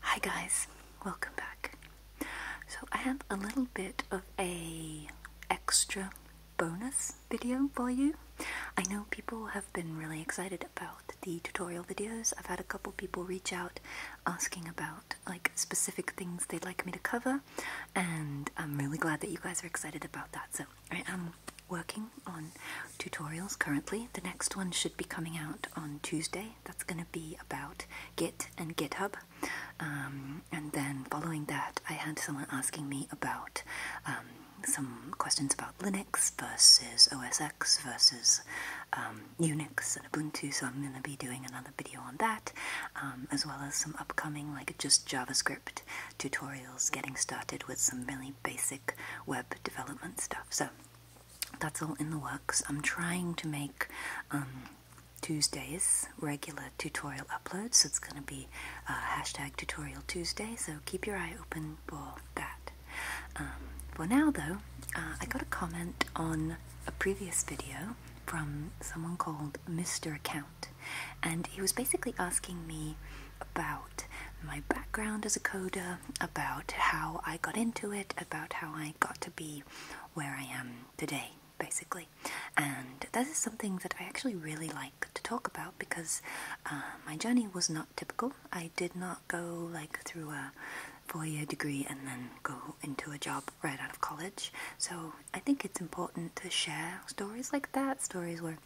Hi guys, welcome back. So I have a little bit of a extra bonus video for you. I know people have been really excited about the tutorial videos. I've had a couple people reach out asking about like specific things they'd like me to cover and I'm really glad that you guys are excited about that. So I am working on tutorials currently. The next one should be coming out on Tuesday. That's going to be about Git and GitHub. Um, and then following that, I had someone asking me about um, some questions about Linux versus OS X versus um, Unix and Ubuntu, so I'm going to be doing another video on that, as well as some upcoming, like just JavaScript tutorials, getting started with some really basic web development stuff. So that's all in the works. I'm trying to make um, Tuesdays regular tutorial uploads, so it's going to be uh, hashtag tutorial Tuesday, so keep your eye open for that. Um, for now, though, uh, I got a comment on a previous video from someone called Mr. Account, and he was basically asking me about my background as a coder, about how I got into it, about how I got to be where I am today, basically. And that is something that I actually really like to talk about because uh, my journey was not typical. I did not go like through a four-year degree and then go into a job right out of college. So I think it's important to share stories like that, stories where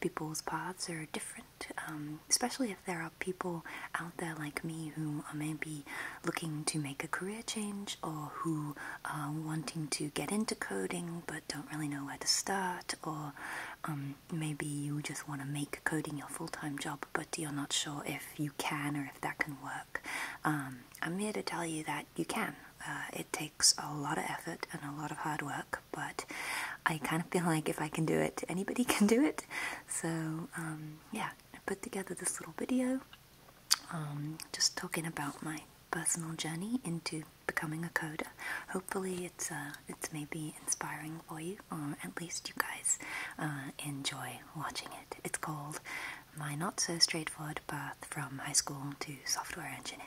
people's paths are different um, especially if there are people out there like me who are maybe looking to make a career change or who are wanting to get into coding but don't really know where to start, or um, maybe you just want to make coding your full time job but you're not sure if you can or if that can work. Um, I'm here to tell you that you can. Uh, it takes a lot of effort and a lot of hard work, but I kind of feel like if I can do it, anybody can do it. So um, yeah, I put together this little video um, just talking about my personal journey into becoming a coder. Hopefully it's, uh, it's maybe inspiring for you, or at least you guys uh, enjoy watching it. It's called My Not So Straightforward Path from High School to Software Engineer.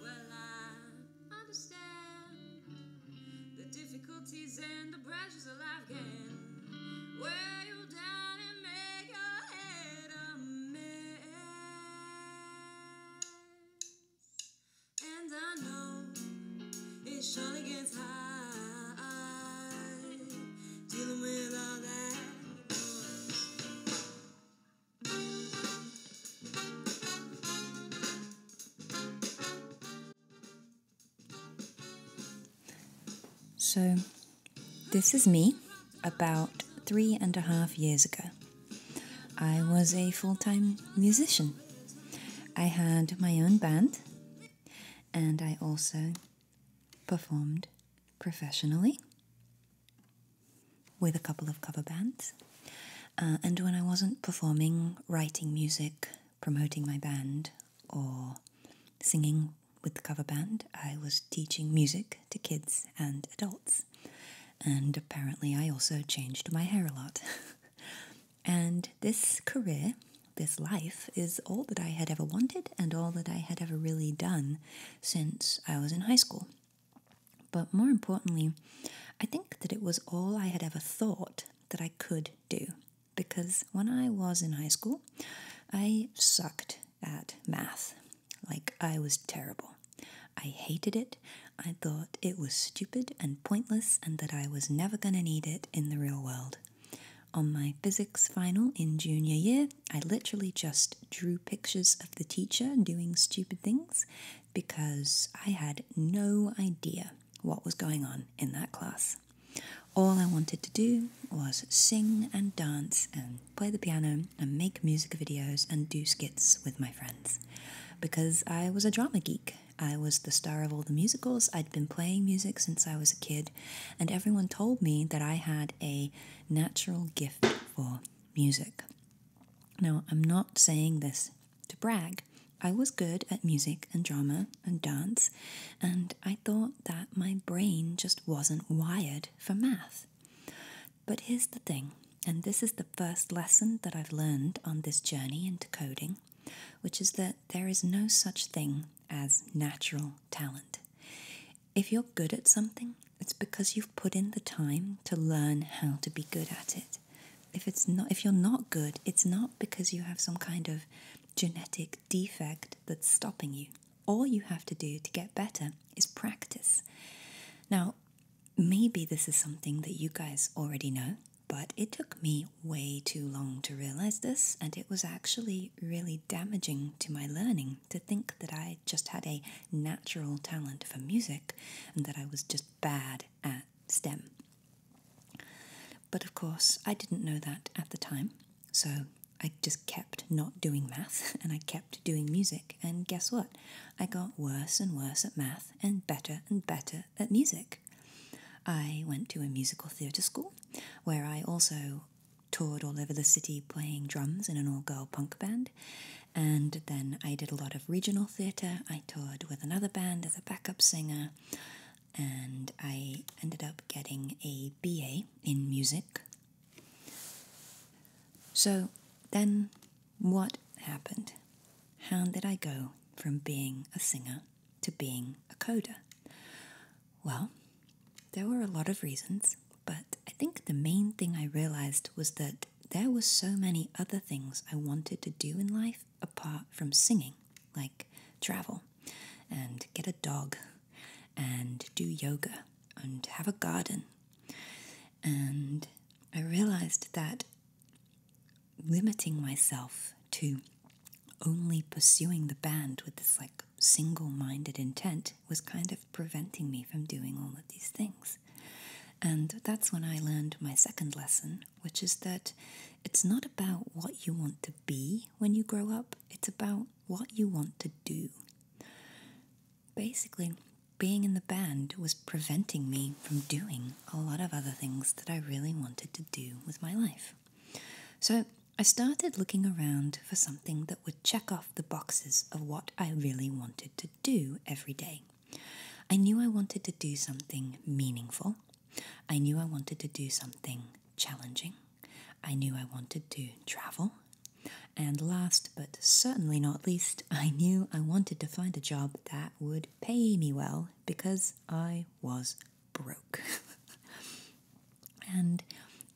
Well, I understand the difficulties and the pressures of life can wear you down and make your head a mess. And I know it surely gets high dealing with all that. So, this is me about three and a half years ago. I was a full time musician. I had my own band and I also performed professionally with a couple of cover bands. Uh, and when I wasn't performing, writing music, promoting my band, or singing with the cover band, I was teaching music to kids and adults. And apparently, I also changed my hair a lot. and this career, this life, is all that I had ever wanted and all that I had ever really done since I was in high school. But more importantly, I think that it was all I had ever thought that I could do because when I was in high school, I sucked at math. Like, I was terrible. I hated it. I thought it was stupid and pointless and that I was never going to need it in the real world. On my physics final in junior year, I literally just drew pictures of the teacher doing stupid things because I had no idea what was going on in that class. All I wanted to do was sing and dance and play the piano and make music videos and do skits with my friends because I was a drama geek. I was the star of all the musicals. I'd been playing music since I was a kid, and everyone told me that I had a natural gift for music. Now, I'm not saying this to brag. I was good at music and drama and dance, and I thought that my brain just wasn't wired for math. But here's the thing, and this is the first lesson that I've learned on this journey into coding, which is that there is no such thing as natural talent. If you're good at something, it's because you've put in the time to learn how to be good at it. If it's not if you're not good, it's not because you have some kind of genetic defect that's stopping you. All you have to do to get better is practice. Now, maybe this is something that you guys already know, but it took me way too long to realize this, and it was actually really damaging to my learning to think that I just had a natural talent for music and that I was just bad at STEM. But of course, I didn't know that at the time, so I just kept not doing math and I kept doing music. And guess what? I got worse and worse at math and better and better at music. I went to a musical theatre school where I also toured all over the city playing drums in an all girl punk band. And then I did a lot of regional theatre. I toured with another band as a backup singer. And I ended up getting a BA in music. So then what happened? How did I go from being a singer to being a coder? Well, there were a lot of reasons, but I think the main thing I realized was that there were so many other things I wanted to do in life apart from singing, like travel and get a dog and do yoga and have a garden. And I realized that limiting myself to only pursuing the band with this like single minded intent was kind of preventing me from doing all of these things. And that's when I learned my second lesson, which is that it's not about what you want to be when you grow up, it's about what you want to do. Basically, being in the band was preventing me from doing a lot of other things that I really wanted to do with my life. So I started looking around for something that would check off the boxes of what I really wanted to do every day. I knew I wanted to do something meaningful. I knew I wanted to do something challenging. I knew I wanted to travel. And last but certainly not least, I knew I wanted to find a job that would pay me well because I was broke. and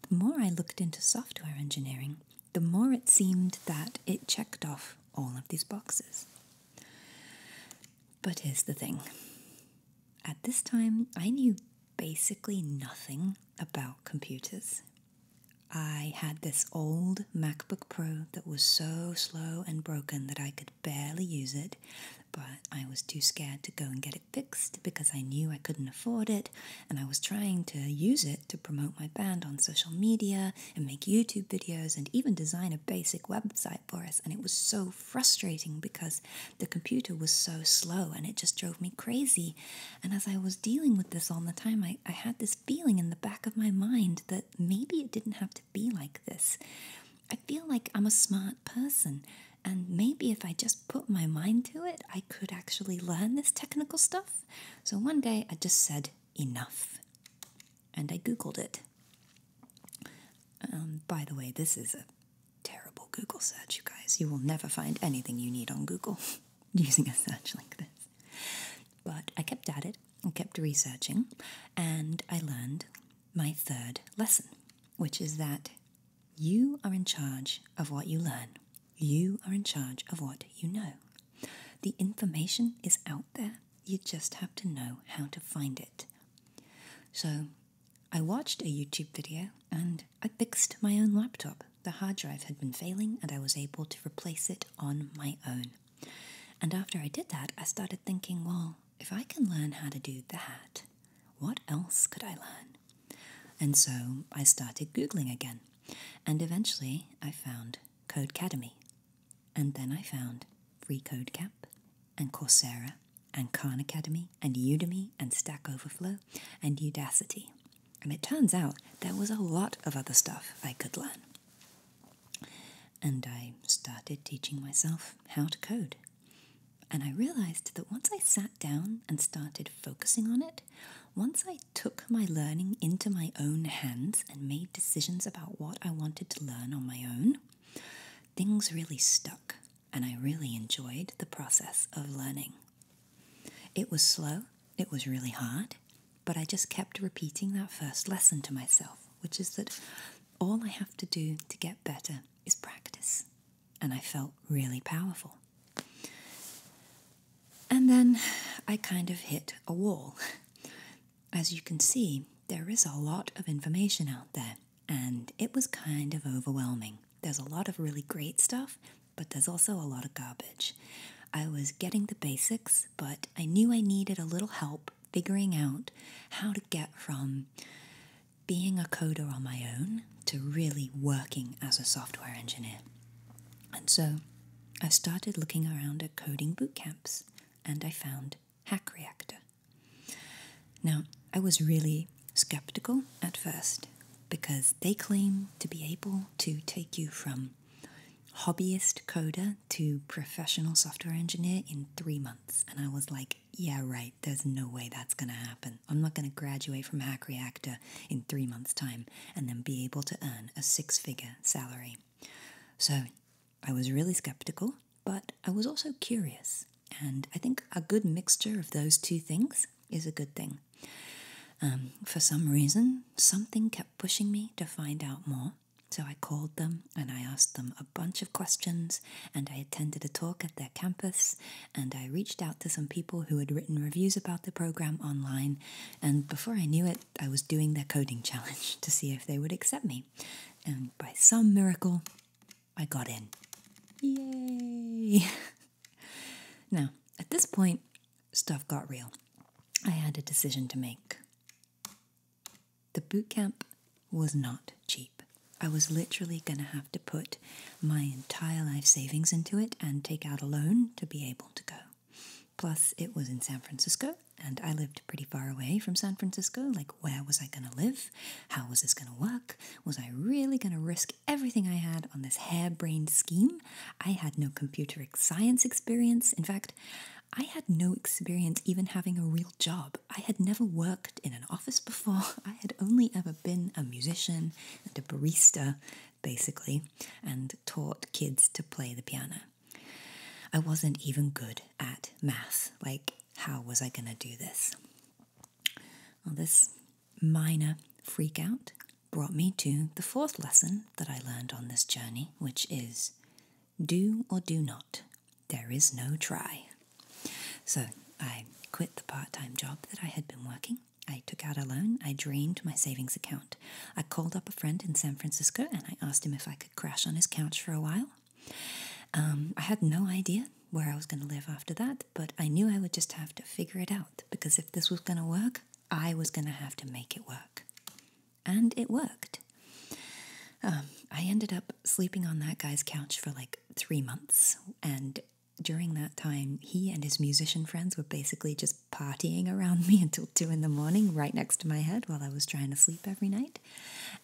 the more I looked into software engineering, the more it seemed that it checked off all of these boxes. But here's the thing at this time, I knew basically nothing about computers. I had this old MacBook Pro that was so slow and broken that I could barely use it, but I was too scared to go and get it fixed because I knew I couldn't afford it and I was trying to use it to promote my band on social media and make YouTube videos and even design a basic website for us. And it was so frustrating because the computer was so slow and it just drove me crazy. And as I was dealing with this all the time, I had this feeling in the back of my mind that maybe it didn't have to be like this. I feel like I'm a smart person. And maybe if I just put my mind to it, I could actually learn this technical stuff. So one day I just said, enough and I Googled it. Um, by the way, this is a terrible Google search, you guys. You will never find anything you need on Google using a search like this. But I kept at it and kept researching, and I learned my third lesson, which is that you are in charge of what you learn, you are in charge of what you know. The information is out there, you just have to know how to find it. So, I watched a YouTube video and I fixed my own laptop. The hard drive had been failing and I was able to replace it on my own. And after I did that, I started thinking, well, if I can learn how to do that, what else could I learn? And so I started Googling again. And eventually I found Codecademy, and then I found Free Code Camp and Coursera and Khan Academy and Udemy and Stack Overflow and Udacity. And it turns out there was a lot of other stuff I could learn. And I started teaching myself how to code. And I realized that once I sat down and started focusing on it, once I took my learning into my own hands and made decisions about what I wanted to learn on my own, things really stuck and I really enjoyed the process of learning. It was slow, it was really hard, but I just kept repeating that first lesson to myself, which is that all I have to do to get better is practice. And I felt really powerful. And then I kind of hit a wall. As you can see, there is a lot of information out there, and it was kind of overwhelming. There's a lot of really great stuff, but there's also a lot of garbage. I was getting the basics, but I knew I needed a little help figuring out how to get from being a coder on my own to really working as a software engineer. And so I started looking around at coding boot camps and I found Hack Reactor. Now, I was really skeptical at first because they claim to be able to take you from hobbyist coder to professional software engineer in three months. And I was like, yeah, right, there's no way that's going to happen. I'm not going to graduate from Hack Reactor in three months' time and then be able to earn a six figure salary. So I was really skeptical, but I was also curious. And I think a good mixture of those two things is a good thing. Um, for some reason, something kept pushing me to find out more. So I called them and I asked them a bunch of questions, and I attended a talk at their campus, and I reached out to some people who had written reviews about the program online. And before I knew it, I was doing their coding challenge to see if they would accept me. And by some miracle, I got in. Yay! now, at this point, stuff got real. I had a decision to make. The boot camp was not cheap. I was literally going to have to put my entire life savings into it and take out a loan to be able to go. Plus, it was in San Francisco, and I lived pretty far away from San Francisco. Like, where was I going to live? How was this going to work? Was I really going to risk everything I had on this harebrained scheme? I had no computer science experience. In fact, I had no experience even having a real job. I had never worked in an office before. I had only ever been a musician and a barista, basically, and taught kids to play the piano. I wasn't even good at math. Like, how was I going to do this? this minor freak out brought me to the fourth lesson that I learned on this journey, which is do or do not. There is no try. So I quit the part time job that I had been working. I took out a loan. I drained my savings account. I called up a friend in San Francisco and I asked him if I could crash on his couch for a while. Um, I had no idea where I was going to live after that, but I knew I would just have to figure it out because if this was going to work, I was going to have to make it work. And it worked. Um, I ended up sleeping on that guy's couch for like three months, and during that time, he and his musician friends were basically just partying around me until two in the morning, right next to my head while I was trying to sleep every night.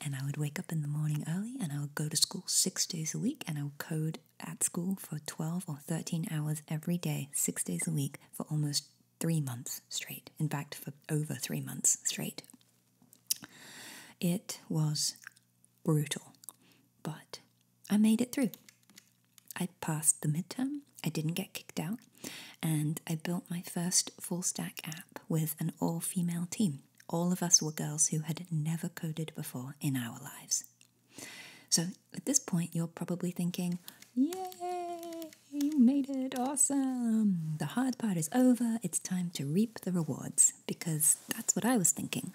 And I would wake up in the morning early and I would go to school six days a week and I would code at school for 12 or 13 hours every day, six days a week, for almost three months straight. In fact, for over three months straight. It was brutal, but I made it through. I passed the midterm I didn't get kicked out, and I built my first full stack app with an all female team. All of us were girls who had never coded before in our lives. So at this point, you're probably thinking, Yay, you made it awesome! The hard part is over, it's time to reap the rewards, because that's what I was thinking.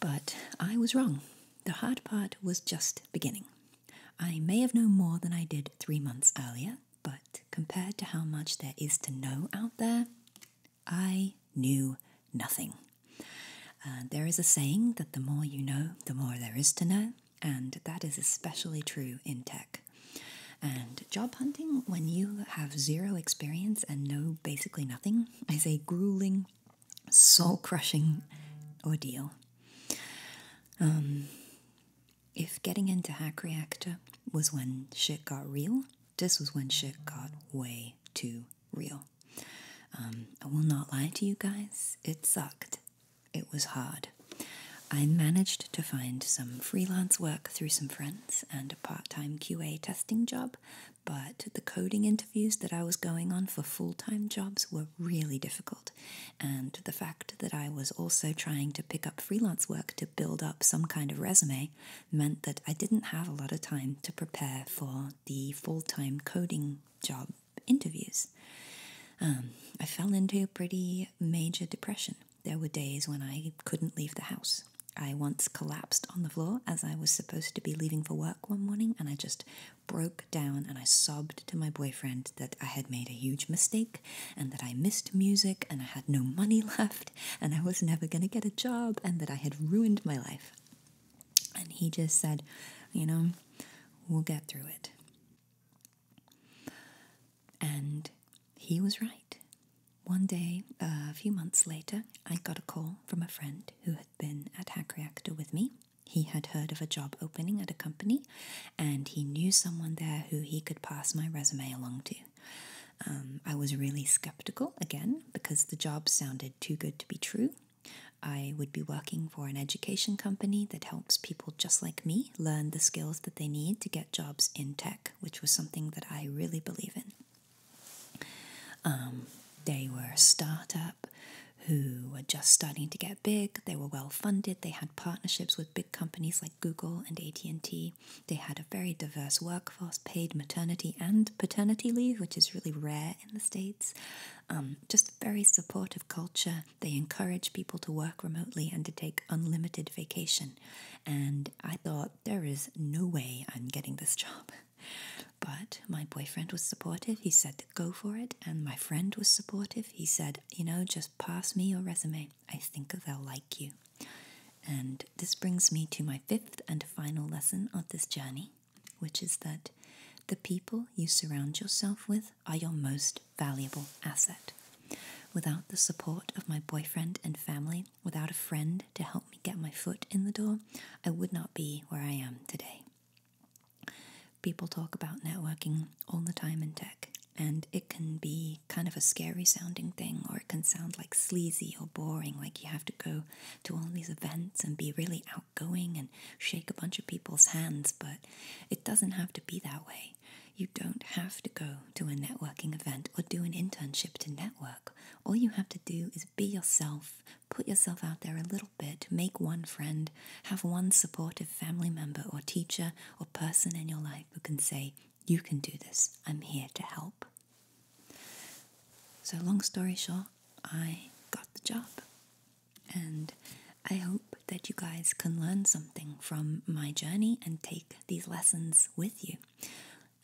But I was wrong. The hard part was just beginning. I may have known more than I did three months earlier, but compared to how much there is to know out there, I knew nothing. Uh, there is a saying that the more you know, the more there is to know, and that is especially true in tech. And job hunting, when you have zero experience and know basically nothing, is a grueling, soul crushing ordeal. Um, if getting into Hack Reactor was when shit got real, this was when shit got way too real. Um, I will not lie to you guys, it sucked. It was hard. I managed to find some freelance work through some friends and a part time QA testing job, but the coding interviews that I was going on for full time jobs were really difficult. And the fact that I was also trying to pick up freelance work to build up some kind of resume meant that I didn't have a lot of time to prepare for the full time coding job interviews. Um, I fell into pretty major depression. There were days when I couldn't leave the house. I once collapsed on the floor as I was supposed to be leaving for work one morning, and I just broke down and I sobbed to my boyfriend that I had made a huge mistake and that I missed music and I had no money left and I was never going to get a job and that I had ruined my life. And he just said, You know, we'll get through it. And he was right. One day, a few months later, I got a call from a friend who had been at Hack Reactor with me he had heard of a job opening at a company and he knew someone there who he could pass my resume along to. Um, I was really skeptical again because the job sounded too good to be true. I would be working for an education company that helps people just like me learn the skills that they need to get jobs in tech, which was something that I really believe in. Um, they were a startup, who were just starting to get big. They were well funded. They had partnerships with big companies like Google and AT&T. They had a very diverse workforce, paid maternity and paternity leave, which is really rare in the States. Um, just a very supportive culture. They encourage people to work remotely and to take unlimited vacation. And I thought, there is no way I'm getting this job. But my boyfriend was supportive. He said go for it. And my friend was supportive. He said, you know, just pass me your resume. I think they'll like you. And this brings me to my fifth and final lesson of this journey, which is that the people you surround yourself with are your most valuable asset. Without the support of my boyfriend and family, without a friend to help me get my foot in the door, I would not be where I am today. People talk about networking all the time in tech, and it can be kind of a scary sounding thing, or it can sound like sleazy or boring, like you have to go to all these events and be really outgoing and shake a bunch of people's hands, but it doesn't have to be that way. You don't have to go to a networking event or do an internship to network. All you have to do is be yourself, put yourself out there a little bit, make one friend, have one supportive family member or teacher or person in your life who can say, You can do this, I'm here to help. So, long story short, I got the job. And I hope that you guys can learn something from my journey and take these lessons with you.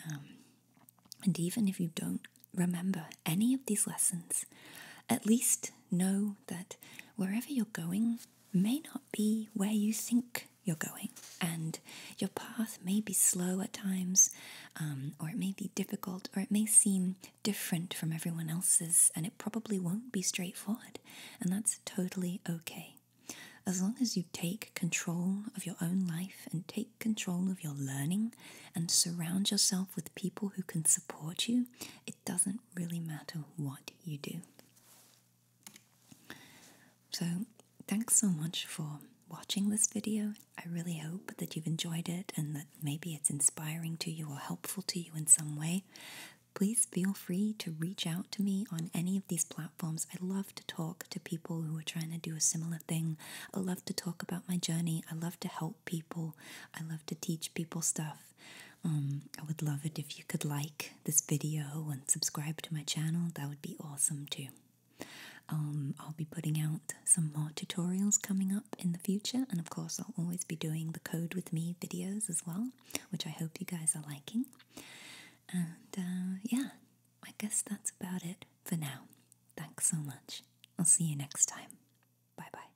Um, and even if you don't remember any of these lessons, at least know that wherever you're going, may not be where you think you're going, and your path may be slow at times, um, or it may be difficult, or it may seem different from everyone else's, and it probably won't be straightforward, and that's totally okay. As long as you take control of your own life and take control of your learning and surround yourself with people who can support you, it doesn't really matter what you do. So, thanks so much for watching this video. I really hope that you've enjoyed it and that maybe it's inspiring to you or helpful to you in some way. Please feel free to reach out to me on any of these platforms. I love to talk to people who are trying to do a similar thing. I love to talk about my journey. I love to help people. I love to teach people stuff. Um, I would love it if you could like this video and subscribe to my channel. That would be awesome too. Um, I'll be putting out some more tutorials coming up in the future, and of course, I'll always be doing the Code with Me videos as well, which I hope you guys are liking. And uh, yeah, I guess that's about it for now. Thanks so much. I'll see you next time. Bye bye.